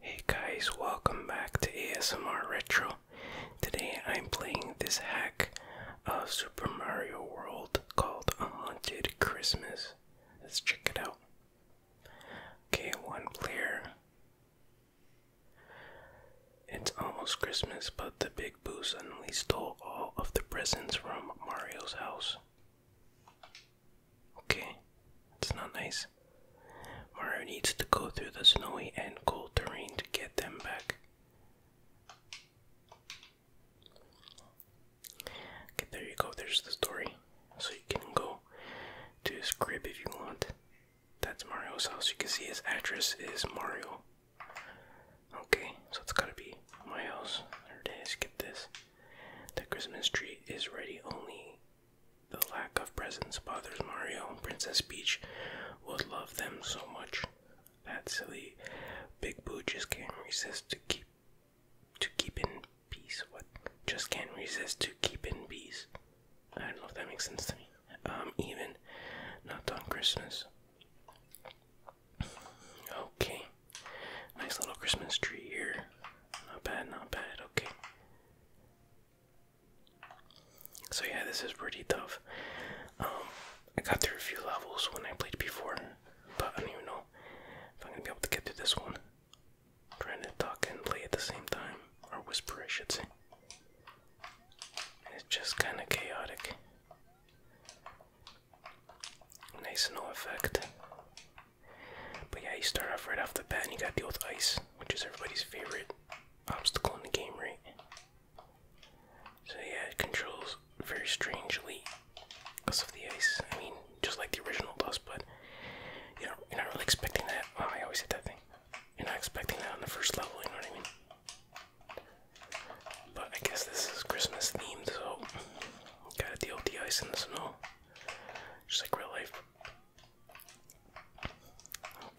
Hey guys, welcome back to ASMR Retro. Today I'm playing this hack of Super Mario World called A Haunted Christmas. Let's check it out. Okay, one player. It's almost Christmas, but the Big Boo suddenly stole all of the presents from Mario's house. Okay, it's not nice. Mario needs to go through the snowy and cold terrain to get them back. Okay, there you go. There's the story. So you can go to his if you want. That's Mario's house. You can see his address is Mario. Okay, so it's gotta be my house. There it is. Skip this. The Christmas tree is ready. Only the lack of presents bothers Mario. Princess Peach would love them so much. That silly Big Boo just can't resist to keep to keep in peace. What? Just can't resist to keep in peace. I don't know if that makes sense to me. Um, even not on Christmas. Okay, nice little Christmas tree here. Not bad, not bad. Okay. So yeah, this is pretty tough. Um, I got through a few levels when I played before, but I don't even know if I'm gonna be able to get through this one trying to talk and play at the same time, or whisper, I should say. it's just kind of chaotic. Nice no effect. But yeah, you start off right off the bat and you gotta deal with ice, which is everybody's favorite obstacle in the game, right? So yeah, it controls very strangely because of the ice. I mean, just like the original does, but you know, you're not really expecting that. Oh, I always hit that thing. You're not expecting that on the first level, you know what I mean? But I guess this is Christmas themed, so gotta deal with the ice and the snow. Just like real life.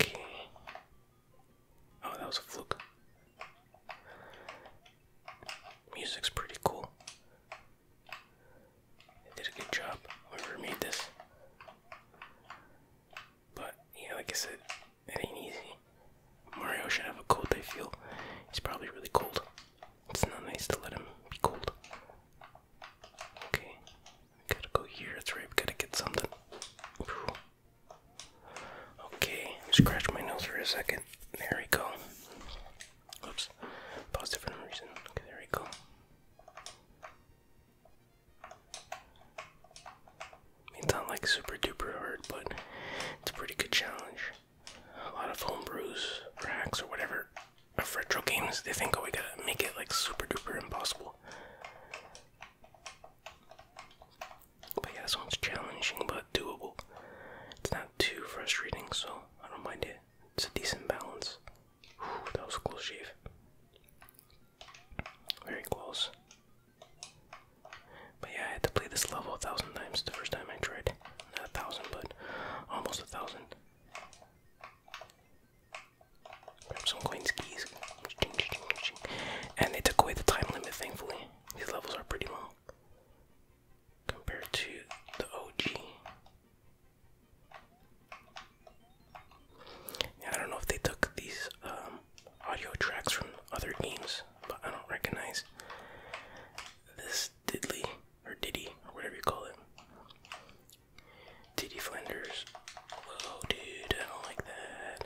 Okay. Oh, that was a fluke. Music's pretty cool. They did a good job. Whoever made this. But yeah, like I said, it ain't easy. Mario should have a cold, I feel. He's probably really cold. It's not nice to let him be cold. Okay. gotta go here, that's right, gotta get something. Okay, scratch my nose for a second. There we go. Oops. Paused it for no reason. Okay, there we go it's not like super duper hard, but it's a pretty good challenge. A lot of homebrews, or or whatever, retro games, they think, oh, we gotta make it like super duper impossible. But yeah, this one's challenging but doable. It's not too frustrating, so I don't mind it. It's a decent balance. Whew, that was a close shave. Very close. But yeah, I had to play this level a thousand times the first time I tried. Not a thousand, but almost a thousand. Grab some coin skis. And they took away the time limit, thankfully. These levels are pretty long compared to the OG. I don't know if they took these um, audio tracks from other games, but I don't recognize this Diddley or Diddy or whatever you call it. Diddy Flinders. Whoa, dude, I don't like that.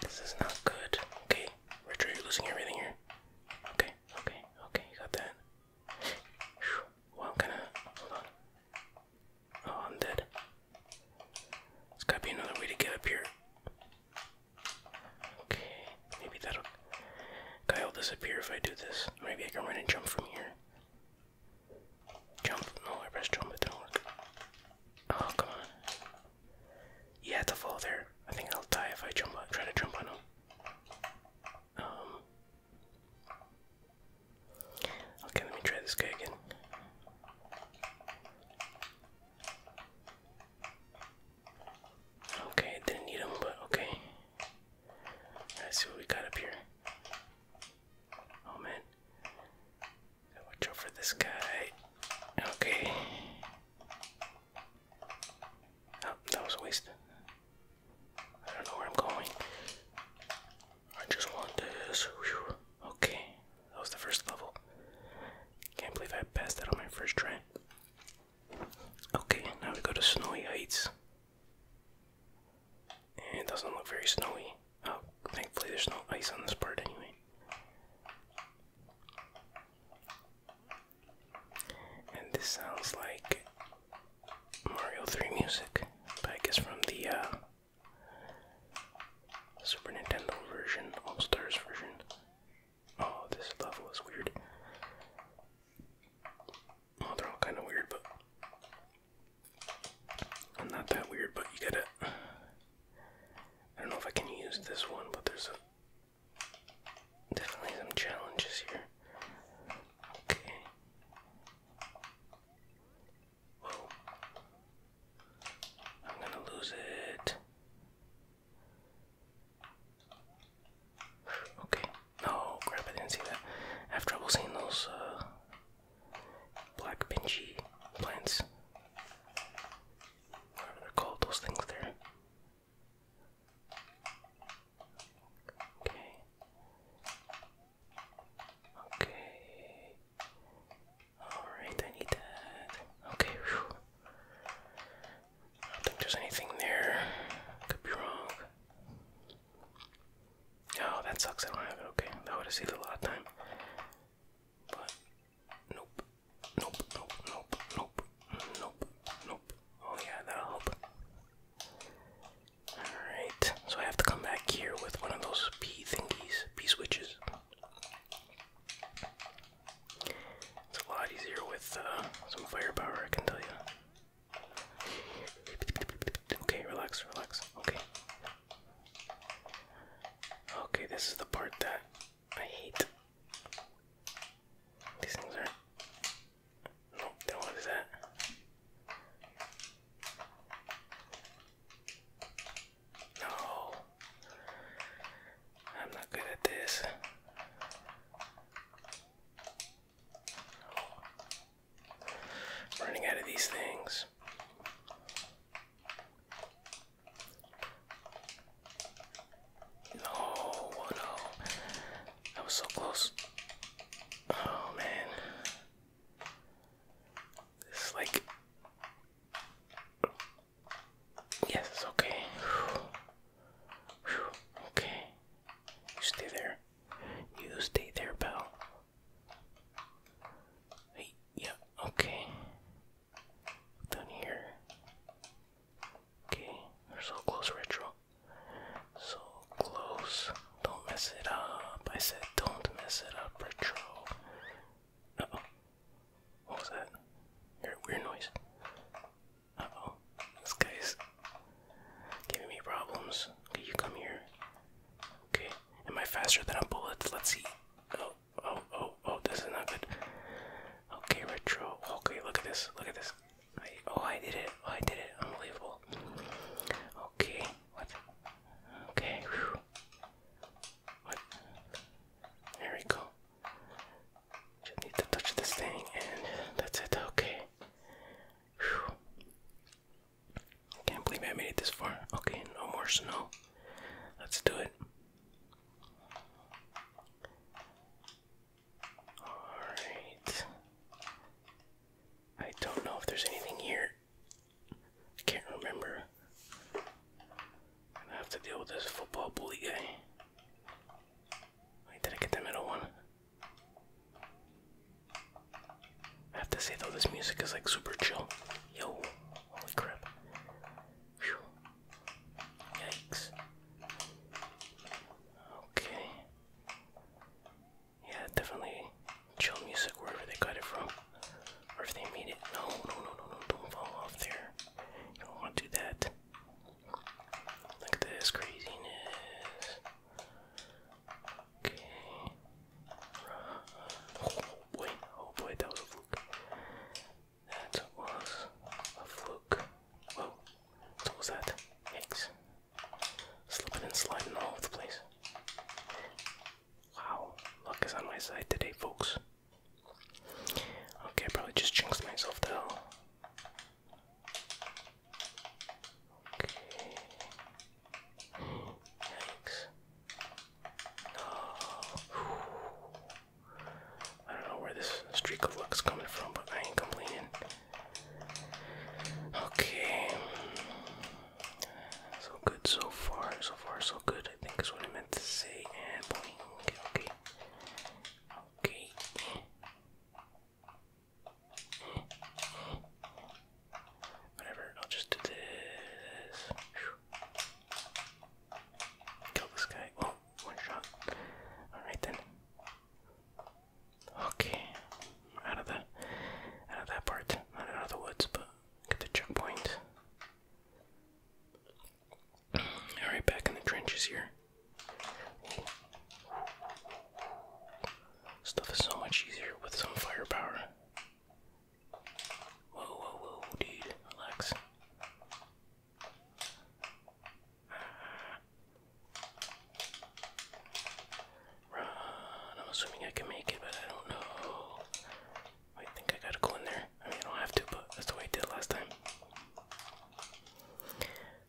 This is not good. Okay, Richard, you're losing everything here. Okay, okay, okay, you got that. Well, I'm gonna hold on. Oh, I'm dead. There's gotta be another way to get up here. Okay, maybe that'll. Guy will disappear if I do this. Maybe I can run and jump from here. Jump. No, I pressed jump, it didn't work. Oh, come on. Yeah, had to fall there. I think I'll die if I jump on, try to jump on him. Um, Okay, let me try this guy again. Okay, didn't need him, but okay. Let's see what we got up here. Oh man. watch out for this guy. Okay. Oh, that was a I don't know where I'm going. I just want this. Okay, that was the first level. Can't believe I passed that on my first try. Okay, now we go to Snowy Heights. And it doesn't look very snowy. Oh, thankfully there's no ice on this part anyway. And this sounds like Mario 3 music, but I guess from the uh, Super Nintendo version, All Stars version. Oh, this level is weird. Well, oh, they're all kind of weird, but I'm not that weird. But you gotta. I don't know if I can use this one, but there's definitely some challenges here. Okay. I'm gonna lose it. Okay. No, crap, I didn't see that. I have trouble seeing those uh, black pinchy plants. Whatever they're called, those things there. Okay. Okay. Alright, I need that. Okay, I don't think there's anything there. Could be wrong. Oh, that sucks. I don't have it. Okay, that would have saved a lot of time. But, nope. Nope, nope, nope, nope, nope, nope. Oh, yeah, that'll Alright, so I have to come back here with one of those P thingies, P switches. It's a lot easier with uh, some fire power, I can tell you. Okay, relax, relax. Okay. Okay, this is the part that I hate. These things are. Nope, don't do that. No, I'm not good at this. Running out of these things. No, oh no, was so close. Oh man. It's like. Yes, okay. Okay. You stay there. You stay there, pal. Hey, yeah, okay. Down here. Okay, we're so close, Retro. So close. Don't mess it up. I said don't mess it up, retro. oh. What was that? Weird, noise. oh. This guy's giving me problems. Okay, you come here. Okay. Am I faster than a bullet? Let's see. Oh, oh, oh, oh, this is not good. Okay, retro. Okay, look at this. Look at this. oh, I did it. Oh, I did it. Unbelievable. Okay, what? Okay. There we go. Just need to touch this thing, and that's it. Okay. Can't believe I made it this far. Okay, no more snow. Let's do it. Alright. I don't know if there's anything here. I can't remember. I have to deal with this football bully guy. did I get the middle one? I have to say though, this music is like super chill. Yo, holy crap. Whew. Yikes. Okay. Yeah, definitely chill music wherever they got it from. Or if they made it. No, no, no, no, no, don't fall off there. You don't want to do that. Look at this craziness. Okay. Oh boy, oh boy, that was a fluke. That was a fluke. Whoa, what was that? Yikes. Slipping and sliding all over the place. Wow, luck is on my side today, folks. Okay, I probably just jinxed myself though. Okay. Yikes. No. I don't know where this streak of luck's coming from, but I ain't complaining. Okay. So good so far, so far so good, I think is what I meant to say. And okay. Okay. Whatever, I'll just do this. Kill this guy. Oh, one shot. Alright then. Okay. Out of the out of that part. Not out of the woods, but Get the checkpoint. Alright, back in the trenches here. Stuff is so much easier with some firepower. Whoa, whoa, whoa, dude. Relax. Run. I'm assuming I can make it, but I don't know. I think I gotta go in there. I mean, I don't have to, but that's the way I did last time.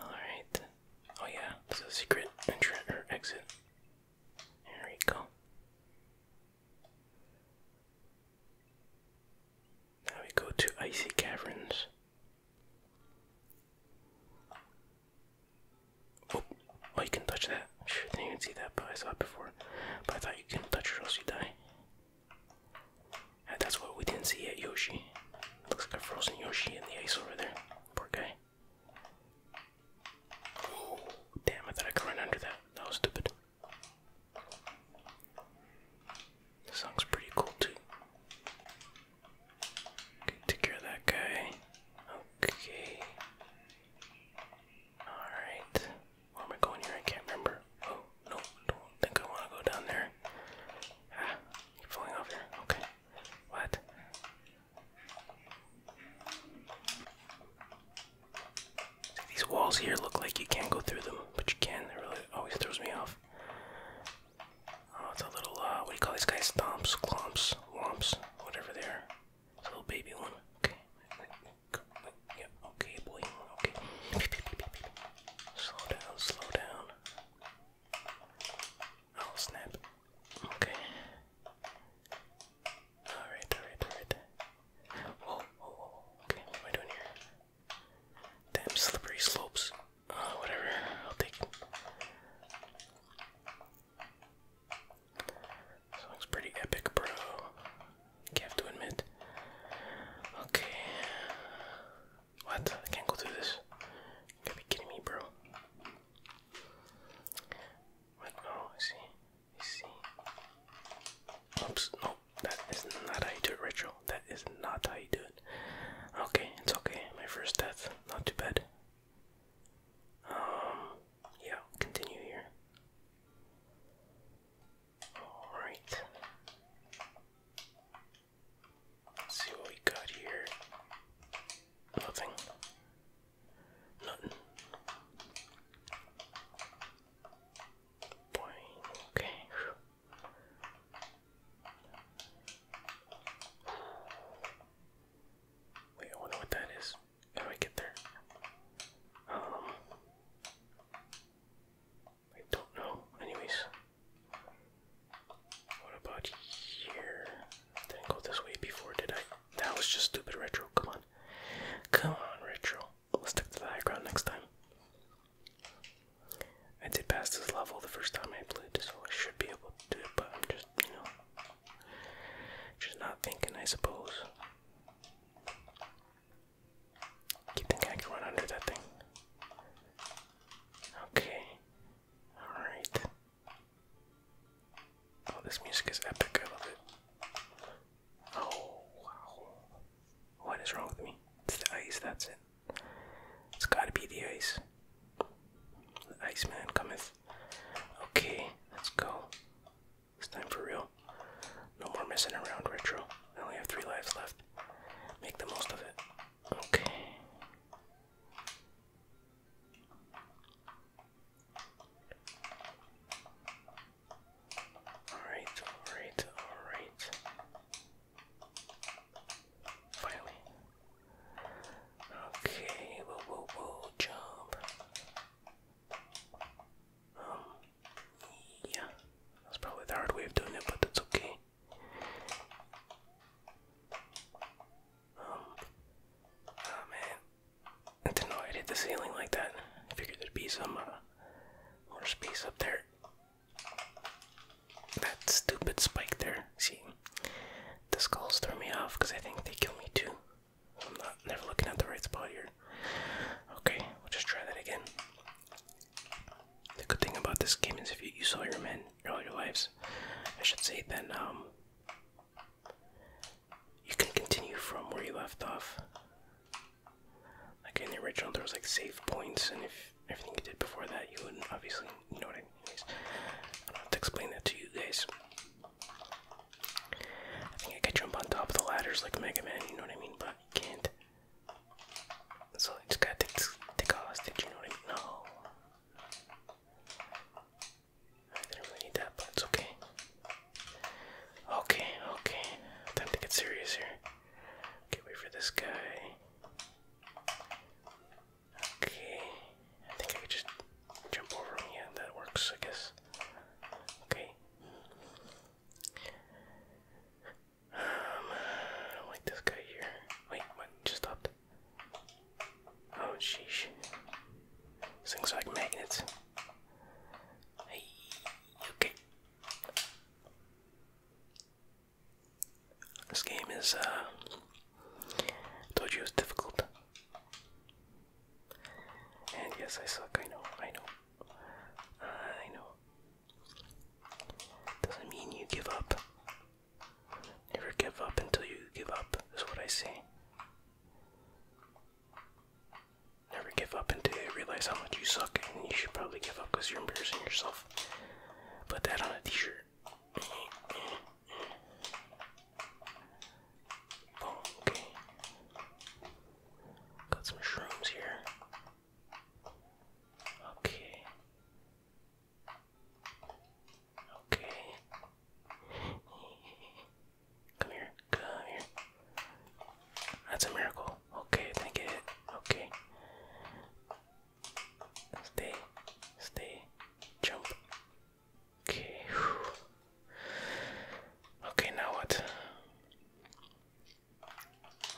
Alright. Oh, yeah, there's a secret entrance or exit. There we go. Now we go to Icy Caverns. Oh, oh you can touch that. I didn't even see that, but I saw it before. But I thought you couldn't touch her else you die. that's what we didn't see at Yoshi. Looks like a frozen Yoshi in the ice over there. Poor guy. damn, I thought I could run under that. That was stupid. The song's pretty cool too. take care of that guy. Okay. Alright. Where am I going here? I can't remember. Oh, no, don't think I want to go down there. Ah, you falling off here. Okay. What? these walls here look like you can't go through them, but you can. It really always throws me off. Oh, it's a little, uh, what do you call these guys? Thumps, clumps, womps, whatever they are little baby one. Okay. Yep. Okay, boy. Okay. Slow down. Slow down. Oh snap. Okay. All right. All right. All right. Whoa. Whoa. whoa. Okay. What am I doing here? Damn slippery slopes. Uh, whatever. I'll take. Song's pretty epic, bro. You have to admit. Okay. What? I can't go through this. You gotta be kidding me, bro. What? Oh, I see. I see. Oops. No, that is not how you do it, Rachel. That is not how you do it. Okay, it's okay. My first death. Not too bad. Um yeah, continue here. Alright. see what we got here. Nothing. Nothing. Boing. Okay. Wait, I wonder what that is. How do I get there? Um, I don't know. Anyways, what about here? Didn't go this way before, did I? That was just stupid retro. Come on, come on, retro. Let's stick the high ground next time. I did pass this level the first time I played, so I should be able to do it, but I'm just, you know, just not thinking, I suppose. Keep thinking I can run under that thing. Okay. Alright. Oh, this music is epic. I love it. Oh, wow. What is wrong with me? It's the ice, that's it. It's gotta be the ice. The Iceman cometh. Okay, let's go. It's time for real. No more messing around, Retro. I only have three lives left. Make the most of it. Okay. Alright, alright, alright. Finally. Okay, whoa, whoa, whoa, jump. Um, yeah, that's probably the hard way of doing it, but that's okay. Um, oh man, I didn't know I'd hit the ceiling like that. I figured there'd be some uh, more space up there. That stupid spike there. See, the skulls throw me off because I think they kill me too. I'm not never looking at the right spot here. Okay, we'll just try that again. The good thing about this game is if you, you saw your men all your lives, I should say, then um, you can continue from where you left off. Like in the original, there was like save points, and if everything you did before that, you wouldn't obviously you know what I mean. I don't have to explain that to you guys. I think I could jump on top of the ladders like Mega Man, you know what I mean? But you can't. So I just gotta take, take a you know what No. I didn't really need that, but it's okay. Okay, okay. Time to get serious here. Okay, wait for this guy. Okay. I think I could just jump over him. Yeah, that works, I guess. Okay. Um, I don't like this guy here. Wait, what? Just stopped. Oh, sheesh. This thing's like magnets. Hey, okay. This game is, uh, told you it was difficult. And yes, I suck. I know. I know. I know. Doesn't mean you give up. Never give up until you give up, is what I say. Never give up until you realize how much you suck, and you should probably give up because you're embarrassing yourself. Put that on a t shirt okay. Got some shrooms here. Okay. Okay. Come here. Come here. That's a miracle. Okay, then get it. Okay. Stay. Stay. Jump. Okay. Okay, now what?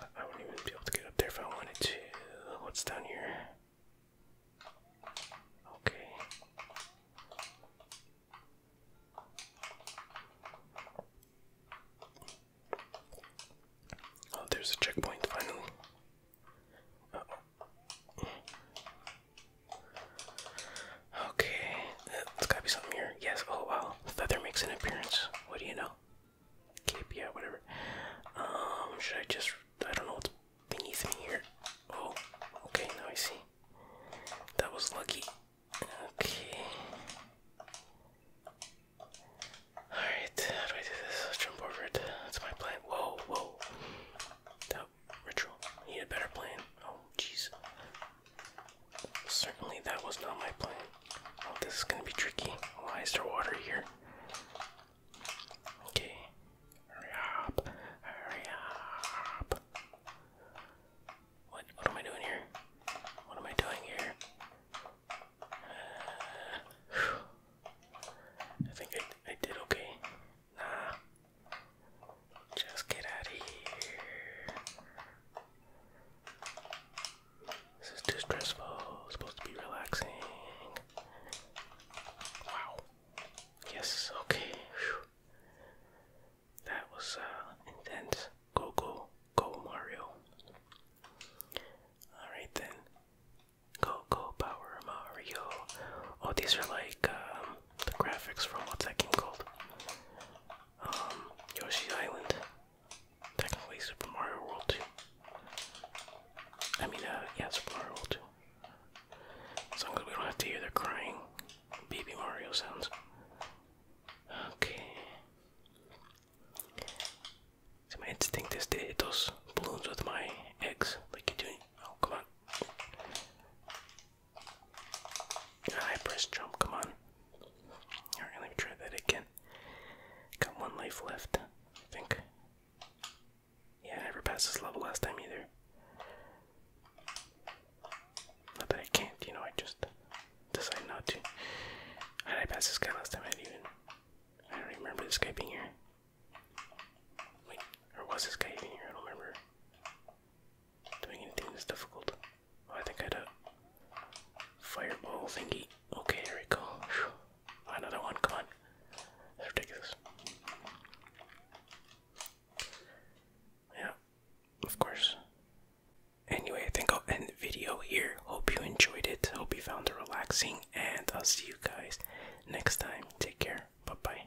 I wouldn't even be able to get up there if I wanted to. What's down here? Okay. Oh, there's a checkpoint finally. Okay, it's gotta be something here. Yes, oh wow. Feather makes an appearance. What do you know? Cape, yeah, whatever. Um, should I just. I don't know what's beneath me here. Oh, okay, now I see. That was lucky. Okay. Alright, how do I do this? jump over That's my plan. Whoa, whoa up. Ritual. He had a better plan. Oh, jeez. Certainly that was not my plan. Oh, this is gonna be tricky. Why is there water here? Okay. Hurry up. Hurry up. What? What am I doing here? What am I doing here? Uh, I think I, I did okay. Nah, just get out of here. This is too stressful. It's supposed to be relaxing. Wow. Yes, okay. That was uh, intense. Go, go, go, Mario. Alright then. Go, go, Power Mario. Oh, these are like um, the graphics from what's that game called? Um, Yoshi Island. Technically Super Mario World 2. I mean, uh, yeah, Super Mario World 2. As long as we don't have to hear the crying baby Mario sounds. Okay. So my instinct is to hit those balloons with my eggs, like you do. Oh, come on. I press jump, come on. Alright, let me try that again. Got one life left, think. Yeah, I never passed this level last time either. Not that I can't, you know, I just decided not to. How did I pass this guy last time? I didn't even. I don't remember this guy being here. Wait, or was this guy even here? I don't remember. Doing anything is difficult. Oh, I think I had a fireball thingy. Okay, here we go. Another one, come on. ridiculous. Yeah, of course. Anyway, I think I'll end the video here. Hope you enjoyed it. Hope you found it relaxing. And I'll see you guys next time. Take care. Bye bye.